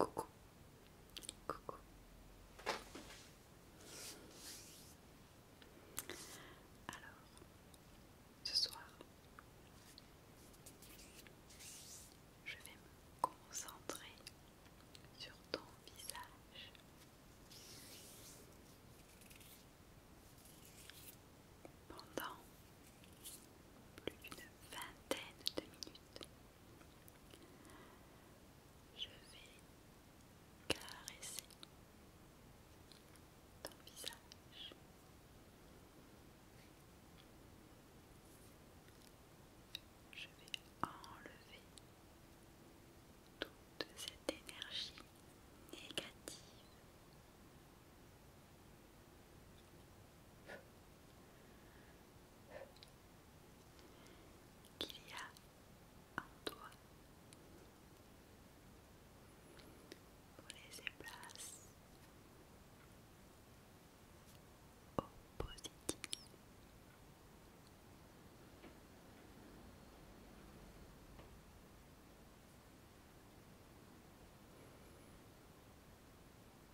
Alors, ce soir, je vais me concentrer sur ton visage. Pendant plus d'une vingtaine de minutes. Je vais caresser ton visage. Je vais enlever toute cette énergie négative qu'il y a un toi on place au positif.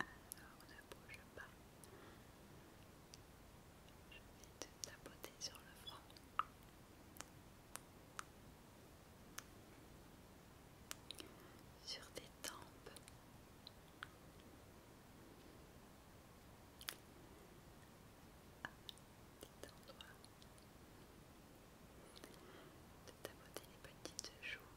Alors ne bouge pas. Je vais te tapoter sur le front. Sur tes tempes. Détends-toi. Ah, de tapoter les petites joues.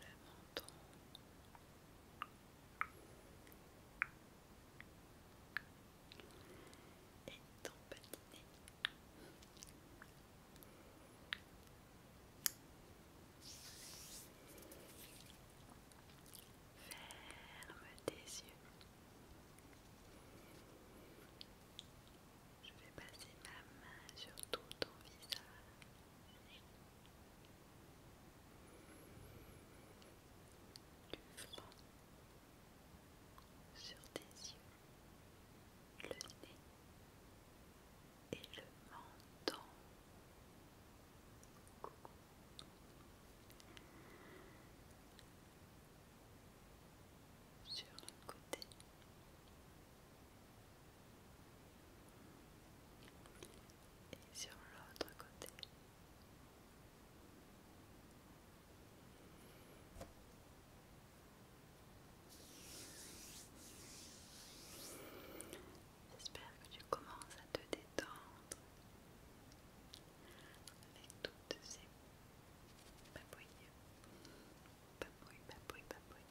Le menton. Et ton petit Ferme tes yeux. Je vais passer ma main sur tout ton visage. Du sur tes yeux, le nez et le menton sur le côté. Et sur l'autre côté. J'espère que tu commences à te détendre avec toutes ces papouilles. Papouilles, papouilles, papouilles.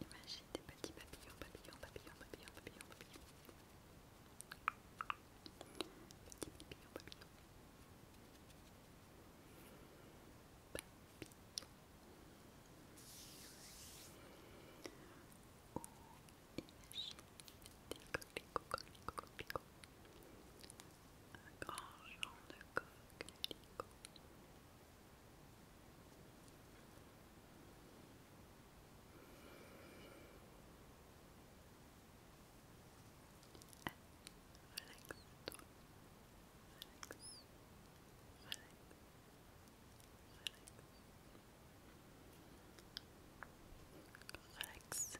Imagine des petits papillons, papillons, papillons, papillons, papillons, papillons. papillons, papillons, papillons. Papillons. Oh, un grand champ de coque Relaxe-toi,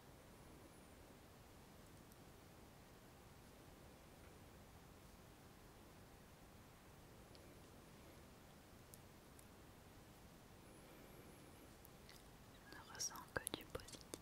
ne ressent que du positif.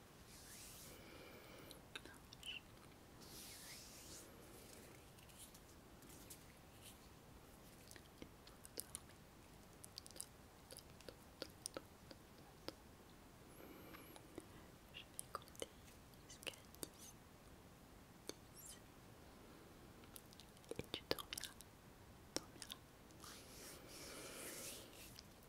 Je vais compter jusqu'à Et tu dormiras.